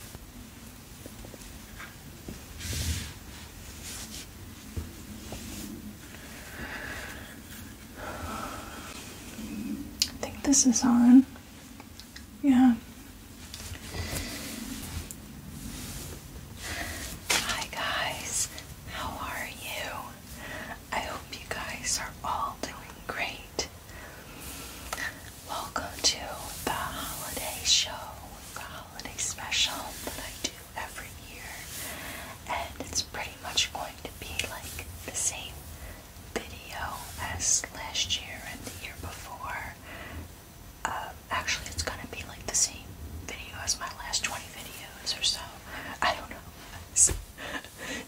I think this is on. Yeah. Hi guys, how are you? I hope you guys are all doing great. Welcome to the holiday show, the holiday special that I do every year, and it's pretty much going to be like the same video as last year and the year before. Um, actually, it's gonna be like the same video as my last 20 videos or so. I don't know.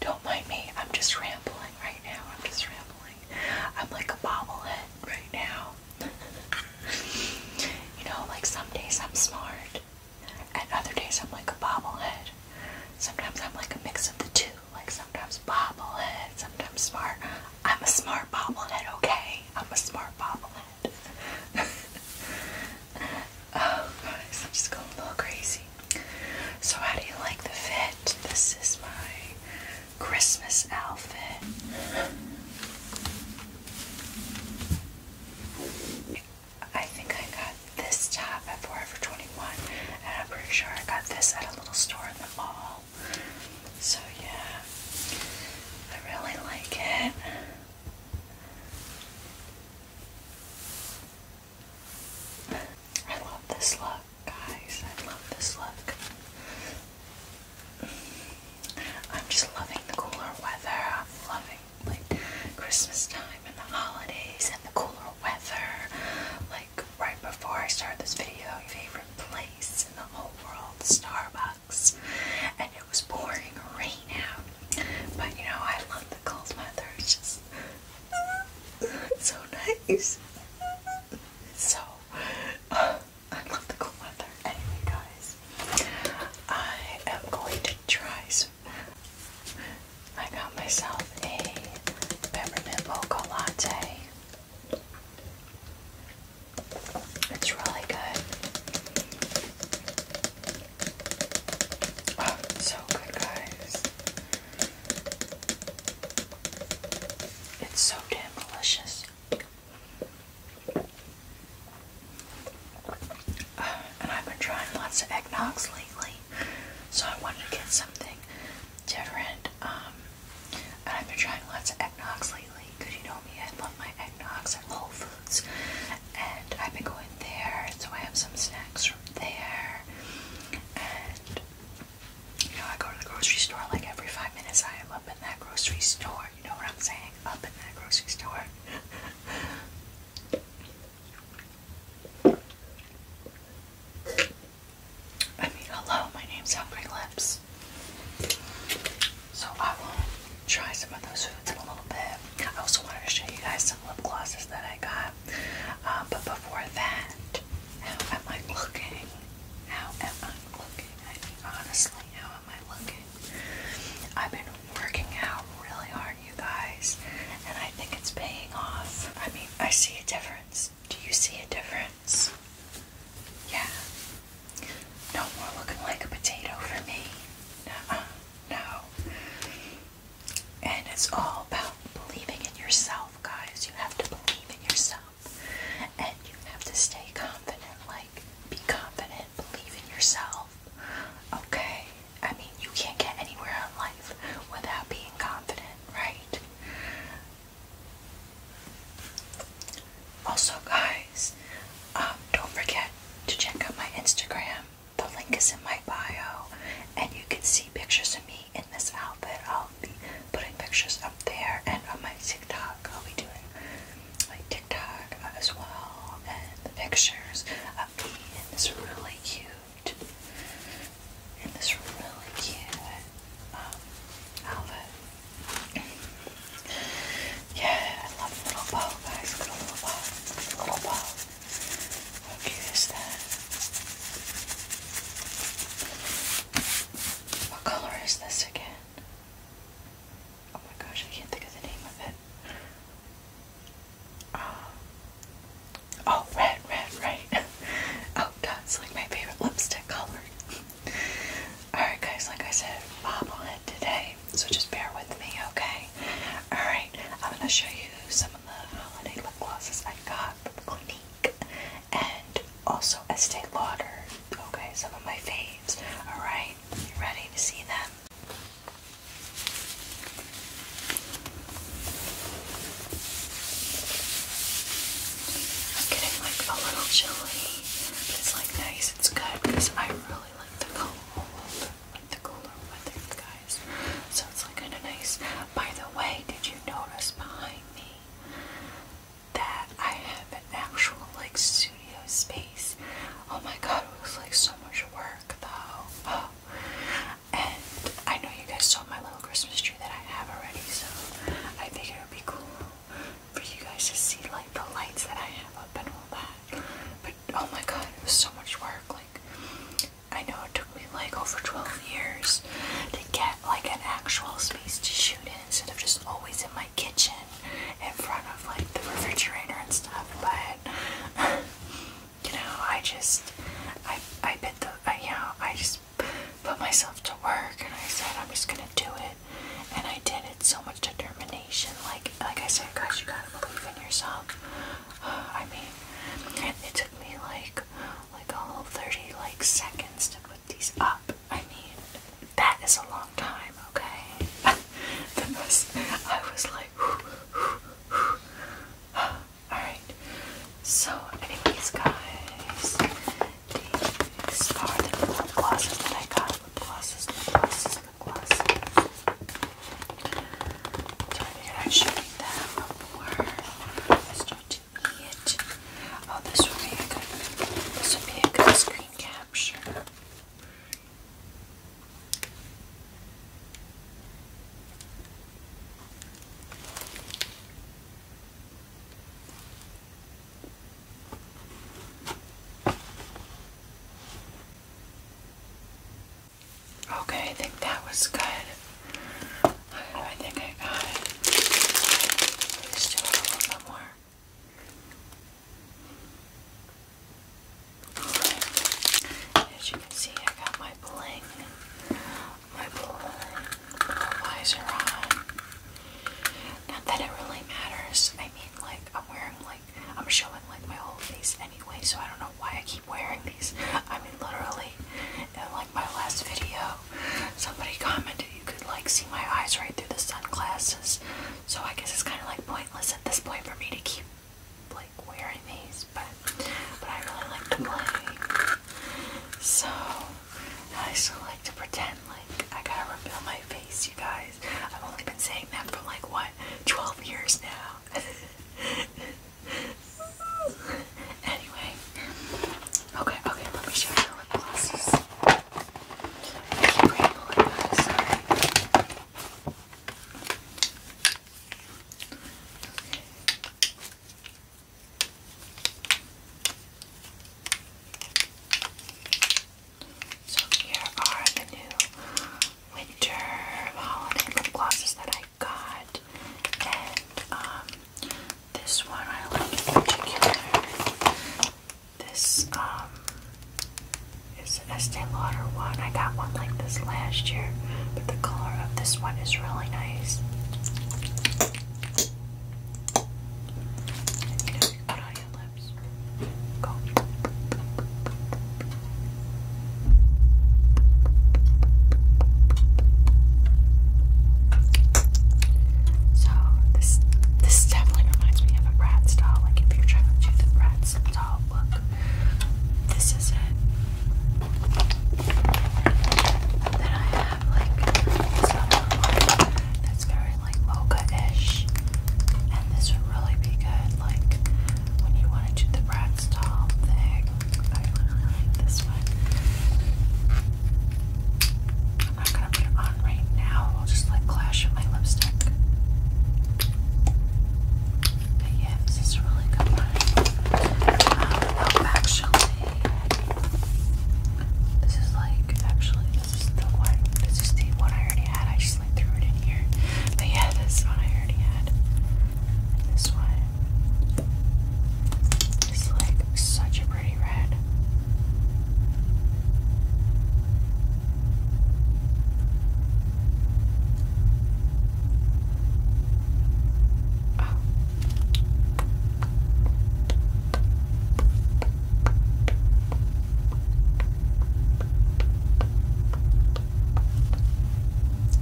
don't mind me. I'm just rambling right now. I'm just rambling. I'm like a bobblehead right now. you know, like some days I'm smart, and other days I'm like a bobblehead. Sometimes I'm like a mix of the two. Like sometimes bobblehead, sometimes smart. I'm a smart bobblehead, okay? I'm a smart bobblehead. oh, guys, I'm just going a little crazy. So, how do you like the fit? This is my Christmas outfit. I think I got this top at Forever 21, and I'm pretty sure I got this at a little store in the mall. So, yeah, I really like it. I love this look. Guys, I love this look. I'm just loving the cooler weather. I'm loving like Christmas time and the holidays and the cooler weather. Like right before I start this video, your favorite place in the whole world, Starbucks. And it was pouring rain out. But you know, I love the cold weather. It's just it's so nice so I love the cool weather. Anyway, guys, I am going to try I got myself a peppermint mocha latte. It's really good. Oh, so good, guys. It's so damn delicious. and I've been trying lots of eggnogs lately, so I wanted to get something different. Um, and I've been trying lots of eggnogs lately because you know me, I love my eggnogs at Whole Foods, and I've been going there, so I have some snacks from there. And you know, I go to the grocery store like every five minutes. I am up in that grocery store. You know what I'm saying? Up in that grocery store. I mean, hello, my name's Hungry Lips. So I will try some of those foods in a little bit. I also wanted to show you guys some lip glosses that I got. Uh, but before that, how am I looking? How am I looking? I mean, honestly, how am I looking? I've been working out really hard, you guys, and I think it's paying off. I mean, I see a difference. Do you see a difference? Yeah. No more looking like a potato for me. No, No. And it's all about believing in yourself, guys. You have to believe in yourself. And you have to stay confident. Like, be confident, believe in yourself. Okay? I mean, you can't get anywhere in life without being confident, right? Also, guys, um, don't forget to check out my Instagram. The link is in my bio, and you can see pictures of me in this outfit. I'll be putting pictures up there and on my TikTok. I'll be doing my TikTok as well and the pictures of me in this really cute, in this really cute um, outfit. yeah, I love the little bow, guys. Look the little bow. The little bow. How cute is that? What color is this again? Oh my gosh, I can't think of the name of it. Uh, oh, red, red, right. oh, that's like my favorite lipstick color. Alright, guys, like I said, bobblehead today, so just bear with me, okay? Alright, I'm gonna show you some of the holiday lip glosses I got from Clinique and also Estee Lauder. Okay, some of my faves. Alright, you ready to see them? I'm getting like a little chilly, it's like nice, it's good because I really like the cold, like the cooler weather, guys. So it's like kind of nice. By the way, did you notice behind me? that I have an actual like studio space. Oh my god, it was like so much work though. And I know you guys saw my little Christmas tree that I have already, so I think it would be cool for you guys to see like the lights that I have up and all that. But oh my god, it was so much work. Like I know it took me like over 12 years to get at like an actual space to shoot in instead of just always in my kitchen in front of like the refrigerator and stuff. But you know, I just I I bit the I, you know I just put myself to work and I said I'm just gonna do it, and I did it. So much determination. Like like I said, guys, you gotta believe in yourself. Uh, I mean, it took me like like all 30 like seconds to put these up. I mean, that is a long time, okay? I was like, alright. So, anyways, guys, these are the lip glosses that I got. Lip glosses, lip I figured I'd show you them before I Oh, this would be a good, this would be a good screen capture. Okay, I think that was good. I think I got it. There's still a little bit more. As you can see, I got my bling. My bling visor on. Not that it really matters. I mean, like, I'm wearing, like, I'm showing, like, my whole face anyway, so I don't know why I keep wearing these. I mean, literally, it, my last video, somebody commented you could like see my eyes right through the sunglasses. So I guess it's kind of like pointless at this point for me to keep like wearing these, but but I really like to play. So I still like to pretend like I gotta reveal my face, you guys. I've only been saying that for like what, 12 years now. anyway, okay, okay, let me show you the lip glosses. So here are the new winter holiday lip glosses that I got, and um, this one I like in particular. This um is an Estee Lauder one. I got one like this last year, but the color of this one is really nice. you put on your lips. Go. So this this definitely reminds me of a Bratz doll. Like if you're trying to do the Bratz doll look, this is it. Then I have like some that's very like mocha-ish, and this would really be good like when you want to do the Bratz doll thing. I really like this one. I'm not gonna put it on right now. I'll just like clash with my lipstick. But yeah, this is really good um, actually, this is like actually this is the one. This is the one I already had. I just like threw it in here. But yeah, this one I already had. This one is like such a pretty red.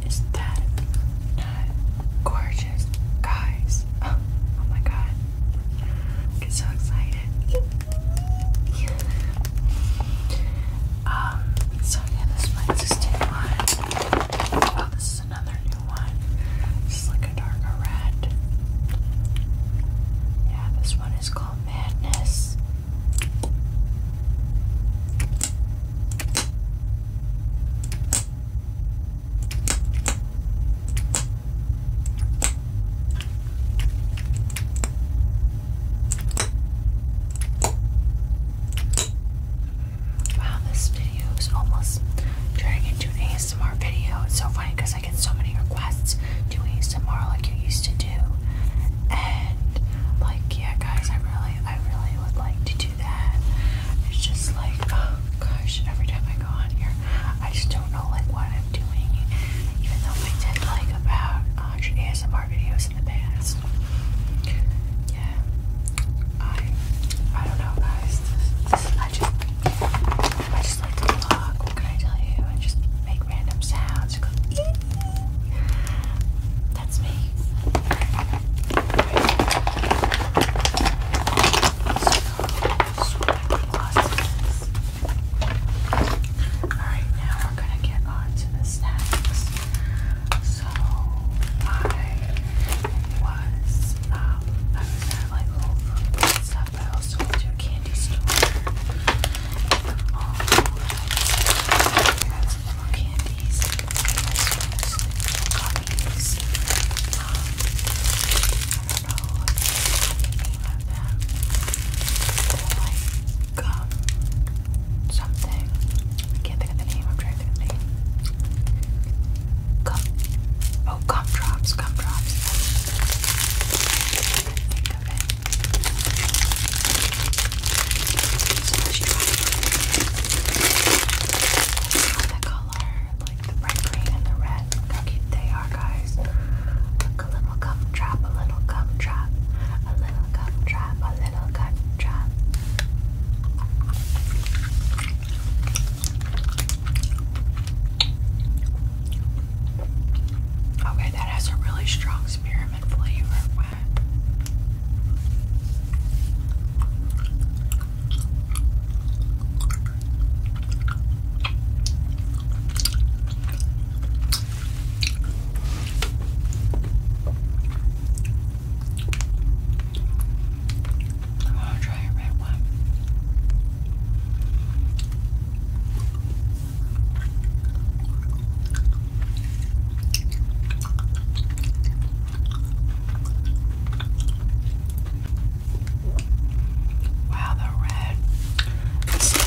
Is that gorgeous guys. Oh, oh, my god. get so excited. um, so yeah, this is my existing one. Oh, this is another new one. This is like a darker red. Yeah, this one is called Madness. Wow, this video is almost turning into an ASMR video. It's so funny because I get so many requests to ASMR like you used to do. And like yeah guys, I really I really would like to do it's just like, oh gosh, every time I go on here, I just don't know like what I'm doing. Even though I did like about 100 ASMR videos in the past. Yeah, I, I don't know, guys. I just, I just like to vlog. What can I tell you? I just make random sounds. That's me. Alright, now we're gonna get on to the snacks. So I was I was at like little stuff, I also went to a candy store. Um, I got some little candies. Um, I don't know if um, something. I can't think of the name. I'm trying to think of the name. Gum. Oh, gumdrops. can't think of it. So the color the bright green and the red. Look how cute they are, guys. Look, a little gumdrop, a little gumdrop, a little gumdrop, a little gumdrop. Okay, that has a really strong spearmint flavor. Wow. I want to try a red one. Wow, the red. such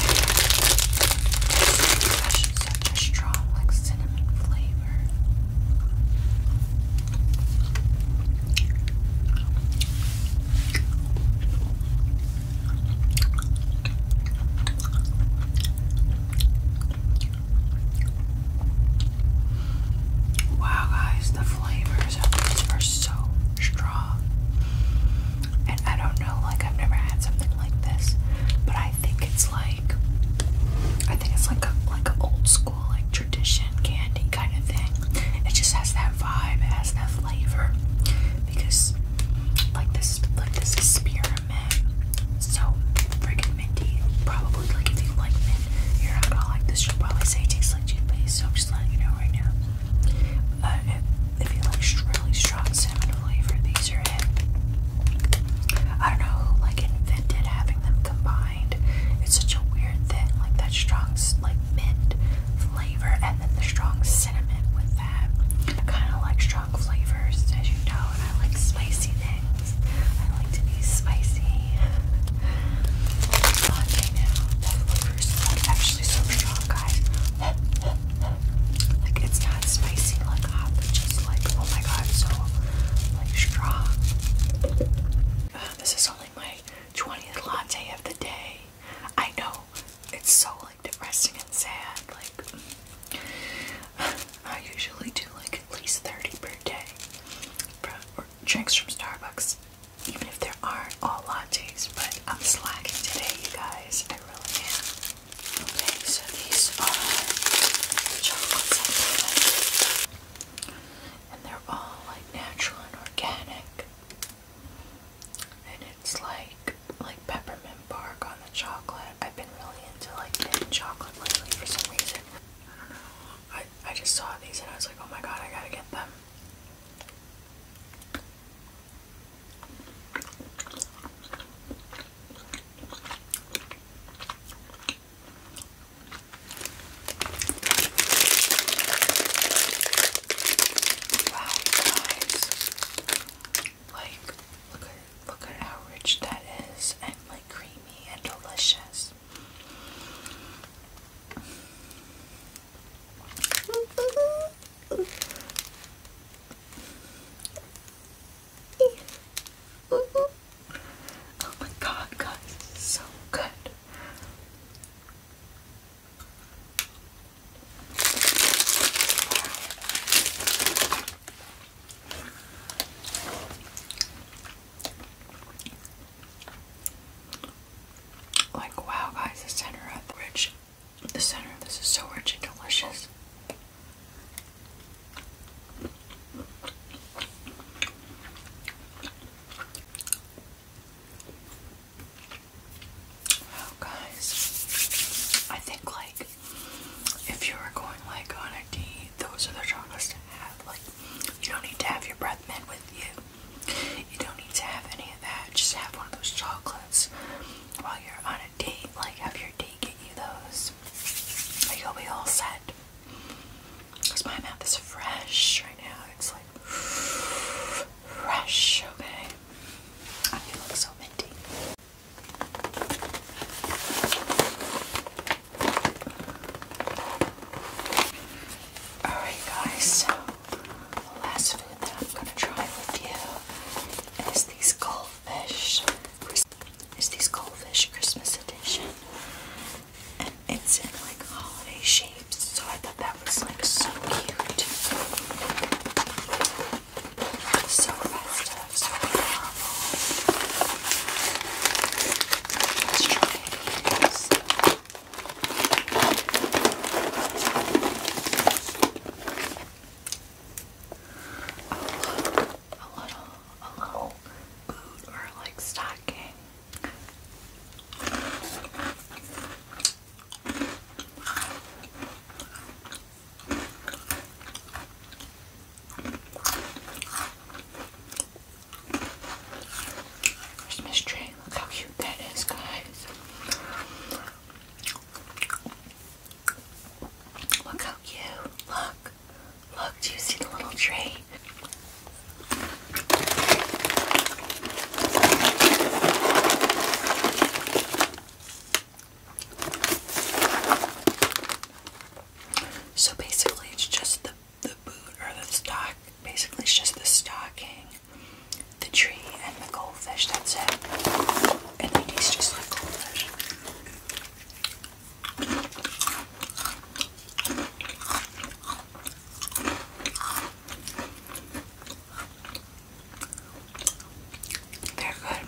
a strong, like, cinnamon flavor. Wow, guys, the flavors of these are so strong. And I don't know, like, I've never had something like this, but I think it's like, I think it's like a like an old school, like tradition candy kind of thing. It just has that vibe, it has that flavor, because like this, like this experiment, so freaking minty, probably probably like if you like mint, your hair at all like this, you'll probably say it tastes like toothpaste. So I'm just letting you know right now. Uh, if, if you like really strong cinnamon flavor, these are it. I don't know who like invented having them combined. It's such a weird thing, like that strong like mint flavor and then the strong cinnamon with that. kind of like strong flavors, as you know, I like spicy things. I like to be spicy. Okay, now that licorice is actually so strong, guys. Like it's not spicy like hot, but just like oh my god, so like strong. Uh, this is only my 20th latte of the day. I know it's so like depressing and sad. Like I usually do like at least 30 per day. drinks from Starbucks even if there aren't all lattes, but I'm slacking today, you guys. I really am. Okay, so these are chocolates And they're all like natural and organic. And it's like like peppermint bark on the chocolate. I've been really into like mint chocolate lately for some reason. I don't know. I, I just saw these and I was like, oh my god, I gotta get them. Wow, guys. Like, look at, look at how rich that is and like creamy and delicious. Oh my god, guys, this is so good. Like wow guys, the center of rich the center this is so rich and delicious. Wow guys. I think like if you were going like on a those are the chocolates to have. Like you don't need to have your breath mint with you. You don't need to have any of that. Just have one of those chocolates while you're on a date. Like, have your date get you those. Like, you'll be all set. Because my mouth is fresh right now. It's like fresh, okay? I do look so minty. Alright, guys, so the last food that I'm gonna try with you is these goldfish. Is these goldfish Christmas edition? And it's in like holiday shapes, so I thought that was like so cute. So festive, so adorable. Let's try these. A little, a little boot or like stocking. Christmas tree. Look how cute that is, guys. Look how cute. Look. Look, do you see the little tree? So basically, it's just the the boot or the stock. Basically, it's just the stocking, the tree, and the goldfish. That's it. And just like goldfish. They're good.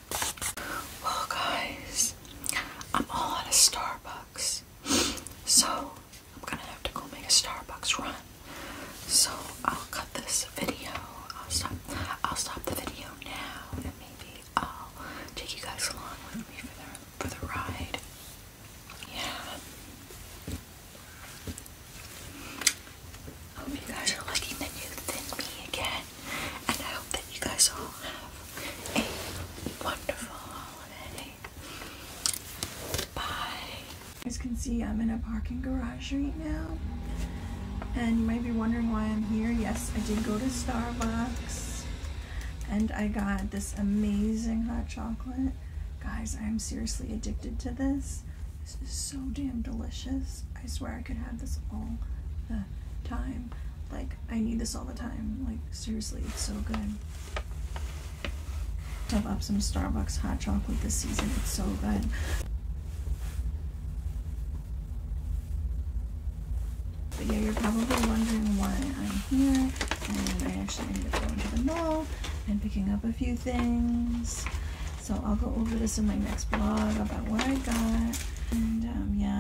Well, guys, I'm all out of Starbucks, so I'm gonna have to go make a Starbucks run. So I'll cut this video. I'll stop. I'll stop the video now, and maybe I'll take you guys along with me for the for the ride. Yeah. Hope you guys are looking the new thin me again and I hope that you guys all have a wonderful holiday. Bye. As you can see, I'm in a parking garage right now, and you might be wondering why I'm here. Yes, I did go to Starbucks, and I got this amazing hot chocolate. Guys, I'm seriously addicted to this. This is so damn delicious. I swear I could have this all the time. Like, I need this all the time. Like seriously, so good. Top up some Starbucks hot chocolate this season. It's so good. But yeah, you're probably wondering why I'm here. And I actually ended up going to the mall and picking up a few things. So I'll go over this in my next blog about what I got. And um, yeah.